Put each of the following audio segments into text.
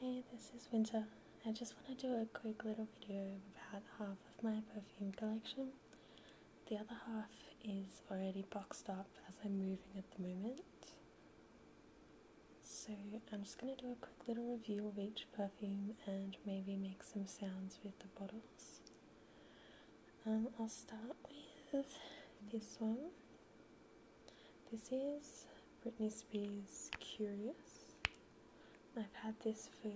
Hey, this is Winter. I just want to do a quick little video about half of my perfume collection. The other half is already boxed up as I'm moving at the moment. So I'm just going to do a quick little review of each perfume and maybe make some sounds with the bottles. Um, I'll start with this one. This is Britney Spears Curious. I've had this for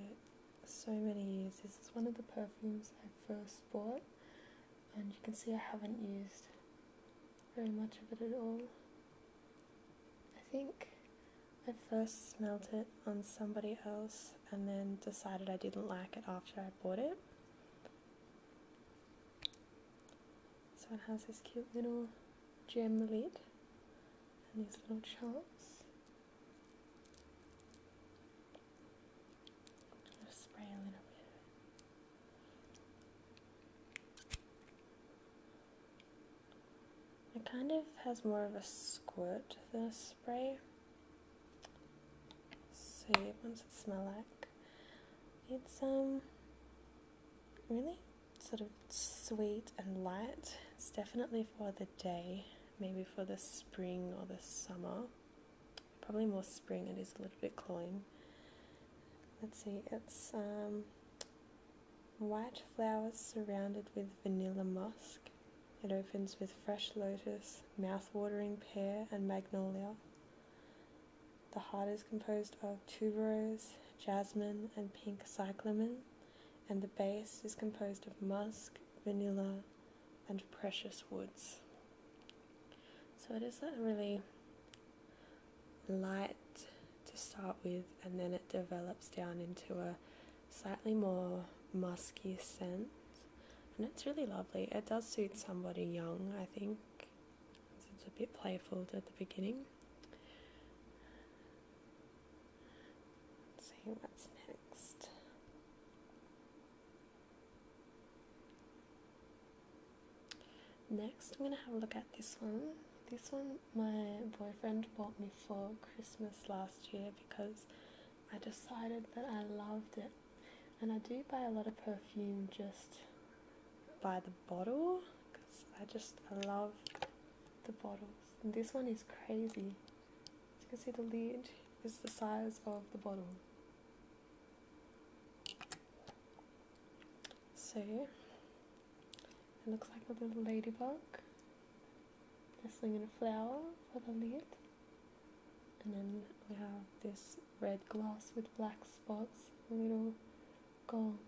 so many years. This is one of the perfumes I first bought, and you can see I haven't used very much of it at all. I think I first smelt it on somebody else and then decided I didn't like it after I bought it. So it has this cute little gem lid and these little charms. i spray a little bit. It kind of has more of a squirt than a spray. See yeah, once it smell like it's some. Um, really sort of sweet and light. It's definitely for the day, maybe for the spring or the summer. Probably more spring, it is a little bit cloying. Let's see, it's um, white flowers surrounded with vanilla musk. It opens with fresh lotus, mouth-watering pear and magnolia. The heart is composed of tuberose, jasmine, and pink cyclamen, and the base is composed of musk, vanilla, and precious woods. So it is a really light to start with, and then it develops down into a slightly more musky scent, and it's really lovely. It does suit somebody young, I think. It's a bit playful at the beginning. Let's see what's next. Next, I'm going to have a look at this one. This one my boyfriend bought me for Christmas last year because I decided that I loved it. And I do buy a lot of perfume just by the bottle because I just love the bottles. this one is crazy. As you can see, the lid is the size of the bottle. So it looks like a little ladybug nestling in a flower for the lid. And then we have this red glass with black spots, little gold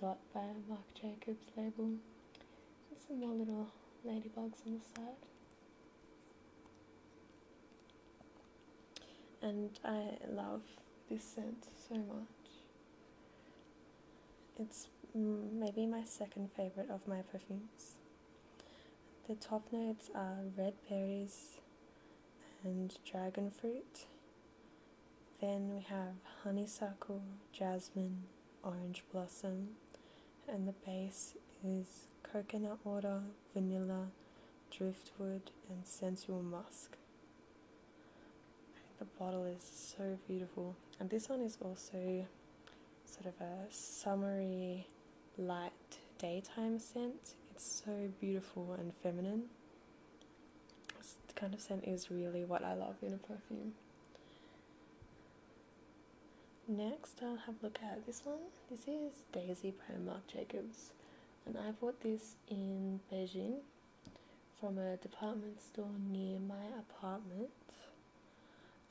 dot by Marc Jacobs label. And some more little ladybugs on the side. And I love this scent so much. It's maybe my second favorite of my perfumes. The top notes are red berries, and dragon fruit. Then we have honeysuckle, jasmine, orange blossom, and the base is coconut water, vanilla, driftwood, and sensual musk. The bottle is so beautiful, and this one is also sort of a summery, light daytime scent. It's so beautiful and feminine. This kind of scent is really what I love in a perfume. Next, I'll have a look at this one. This is Daisy by Marc Jacobs, and I bought this in Beijing from a department store near my apartment.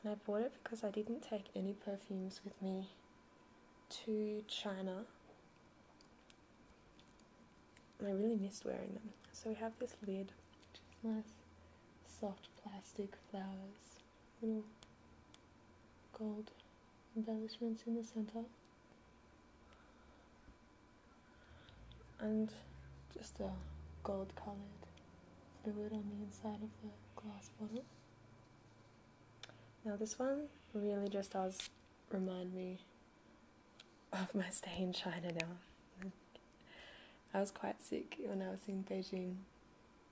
And I bought it because I didn't take any perfumes with me to China I really missed wearing them. So we have this lid, which is nice soft plastic flowers, little gold embellishments in the center. And just a gold coloured fluid on the inside of the glass bottle. Now this one really just does remind me of my stay in China now. I was quite sick when I was in Beijing,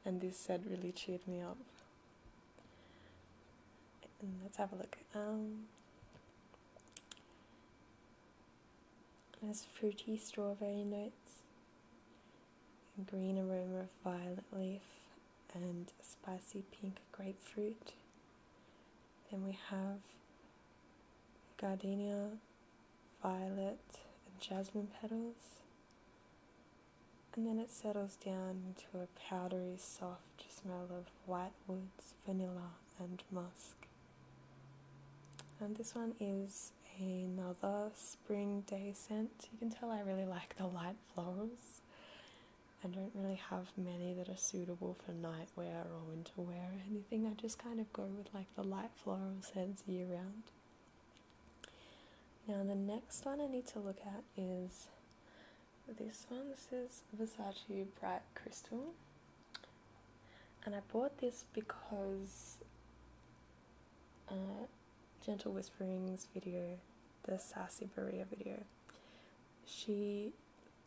and this set really cheered me up. let's have a look. Um, there's fruity strawberry notes, green aroma of violet leaf, and spicy pink grapefruit. Then we have gardenia, violet, and jasmine petals. And then it settles down into a powdery, soft smell of white woods, vanilla, and musk. And this one is another spring day scent. You can tell I really like the light florals. I don't really have many that are suitable for nightwear or winter wear or anything. I just kind of go with like the light floral scents year round. Now the next one I need to look at is this one. This is Versace Bright Crystal. And I bought this because uh, Gentle Whisperings video, the Sassy Berea video, she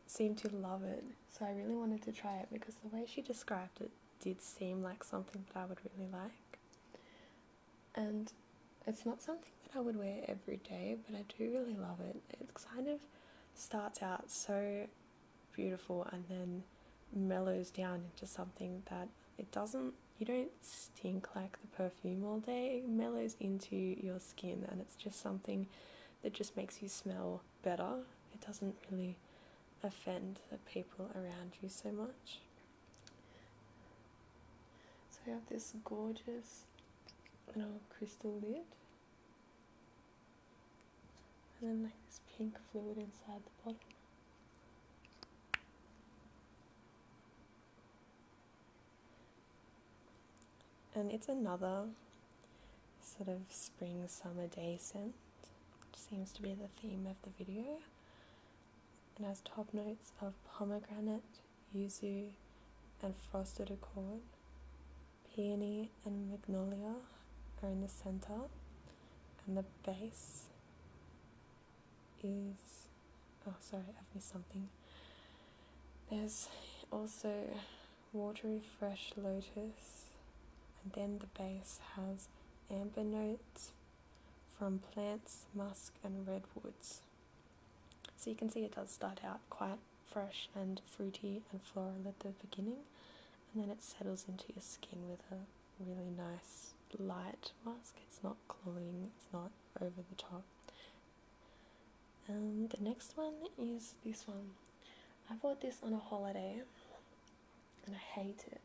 seemed to love it. So I really wanted to try it because the way she described it did seem like something that I would really like. And it's not something that I would wear every day, but I do really love it. It kind of starts out so beautiful and then mellows down into something that it doesn't, you don't Tink like the perfume all day, mellows into your skin and it's just something that just makes you smell better. It doesn't really offend the people around you so much. So you have this gorgeous little crystal lid. And then like this pink fluid inside the bottle. And it's another sort of spring summer day scent, which seems to be the theme of the video, It has top notes of pomegranate, yuzu, and frosted accord. Peony and magnolia are in the center, and the base is oh sorry I've missed something there's also watery fresh lotus and then the base has amber notes from plants musk and redwoods so you can see it does start out quite fresh and fruity and floral at the beginning and then it settles into your skin with a really nice light musk. it's not cloying it's not over the top um, the next one is this one. I bought this on a holiday and I hate it.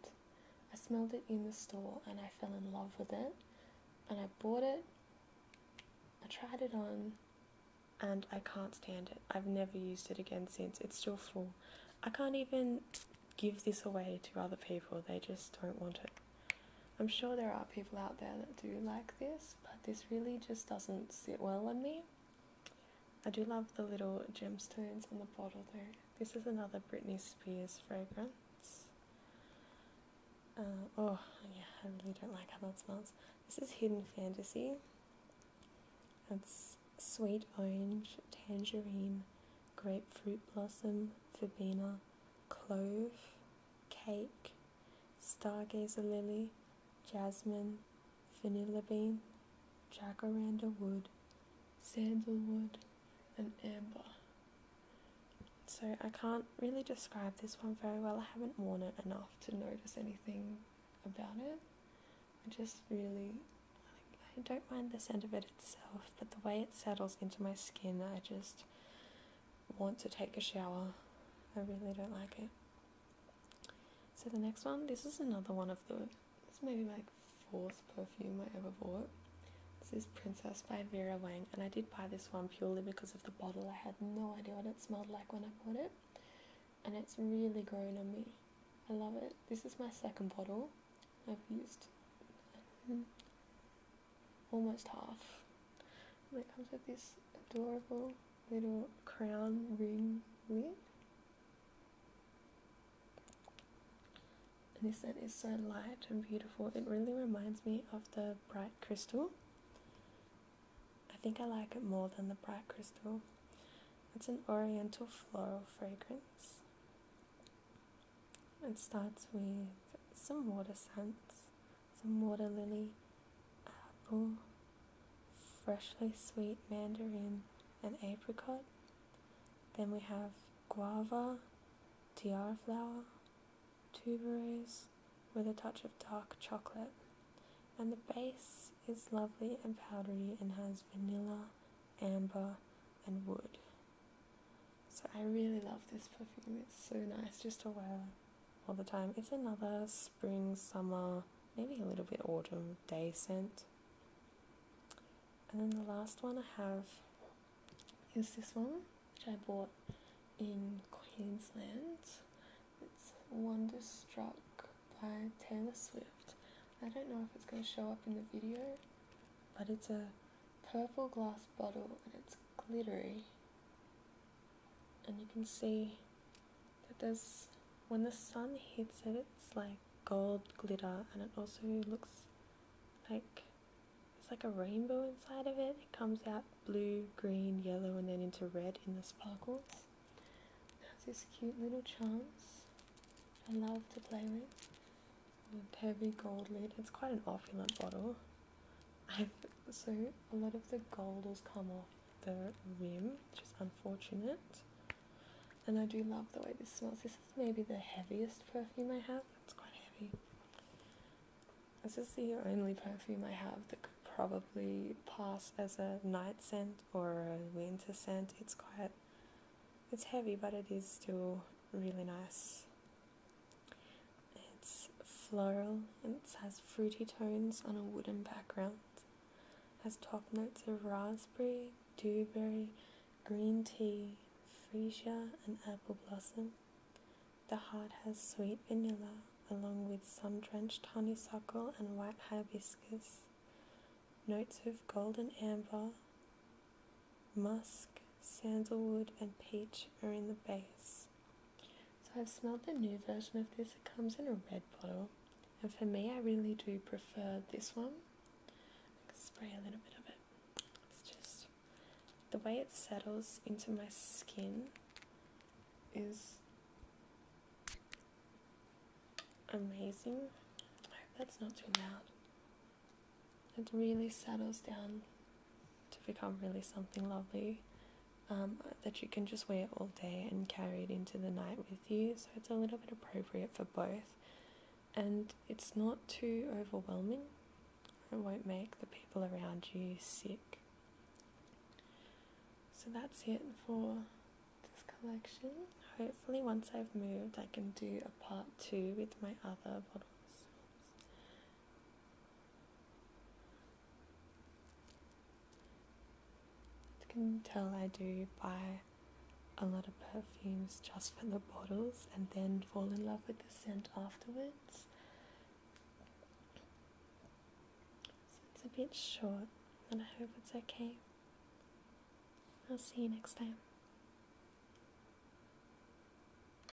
I smelled it in the store and I fell in love with it and I bought it, I tried it on and I can't stand it. I've never used it again since. It's still full. I can't even give this away to other people. They just don't want it. I'm sure there are people out there that do like this, but this really just doesn't sit well on me. I do love the little gemstones on the bottle though. This is another Britney Spears fragrance. Uh, oh, yeah, I really don't like how that smells. This is Hidden Fantasy. It's sweet orange, tangerine, grapefruit blossom, verbena, clove, Cake, Stargazer Lily, Jasmine, Vanilla Bean, Jacaranda Wood, Sandalwood, and Amber. So I can't really describe this one very well. I haven't worn it enough to notice anything about it. I just really, I don't mind the scent of it itself, but the way it settles into my skin, I just want to take a shower. I really don't like it. So the next one, this is another one of the this may be my fourth perfume I ever bought. This is Princess by Vera Wang, and I did buy this one purely because of the bottle. I had no idea what it smelled like when I bought it, and it's really grown on me. I love it. This is my second bottle I've used almost half. And it comes with this adorable little crown ring lid. And this scent is so light and beautiful. It really reminds me of the bright crystal. I think I like it more than the bright crystal. It's an oriental floral fragrance. It starts with some water scents some water lily, apple, freshly sweet mandarin, and apricot. Then we have guava, tiara flower, tuberose with a touch of dark chocolate. And the base is lovely and powdery and has vanilla, amber, and wood. So I really love this perfume. It's so nice just to wear all the time. It's another spring, summer, maybe a little bit autumn day scent. And then the last one I have is this one, which I bought in Queensland. It's Wonderstruck by Taylor Swift. I don't know if it's going to show up in the video, but it's a purple glass bottle and it's glittery. And you can see that there's, when the sun hits it, it's like gold glitter and it also looks like it's like a rainbow inside of it. It comes out blue, green, yellow, and then into red in the sparkles. It has these cute little charms I love to play with. The heavy gold lid. It's quite an opulent bottle so a lot of the gold has come off the rim, which is unfortunate. And I do love the way this smells. This is maybe the heaviest perfume I have. It's quite heavy. This is the only perfume I have that could probably pass as a night scent or a winter scent. It's quite, it's heavy, but it is still really nice. It's floral and it has fruity tones on a wooden background. It has top notes of raspberry, dewberry, green tea, freesia, and apple blossom. The heart has sweet vanilla along with sun drenched honeysuckle and white hibiscus, notes of golden amber, musk, sandalwood, and peach are in the base. So I've smelled the new version of this. It comes in a red bottle, and for me, I really do prefer this one. spray a little bit of it. It's just the way it settles into my skin is amazing. that's not too loud it really settles down to become really something lovely um, that you can just wear all day and carry it into the night with you. So it's a little bit appropriate for both, and it's not too overwhelming. It won't make the people around you sick. So that's it for this collection. Hopefully, once I've moved, I can do a part two with my other bottles you can tell I do buy a lot of perfumes just for the bottles and then fall in love with the scent afterwards. So it's a bit short and I hope it's okay. I'll see you next time.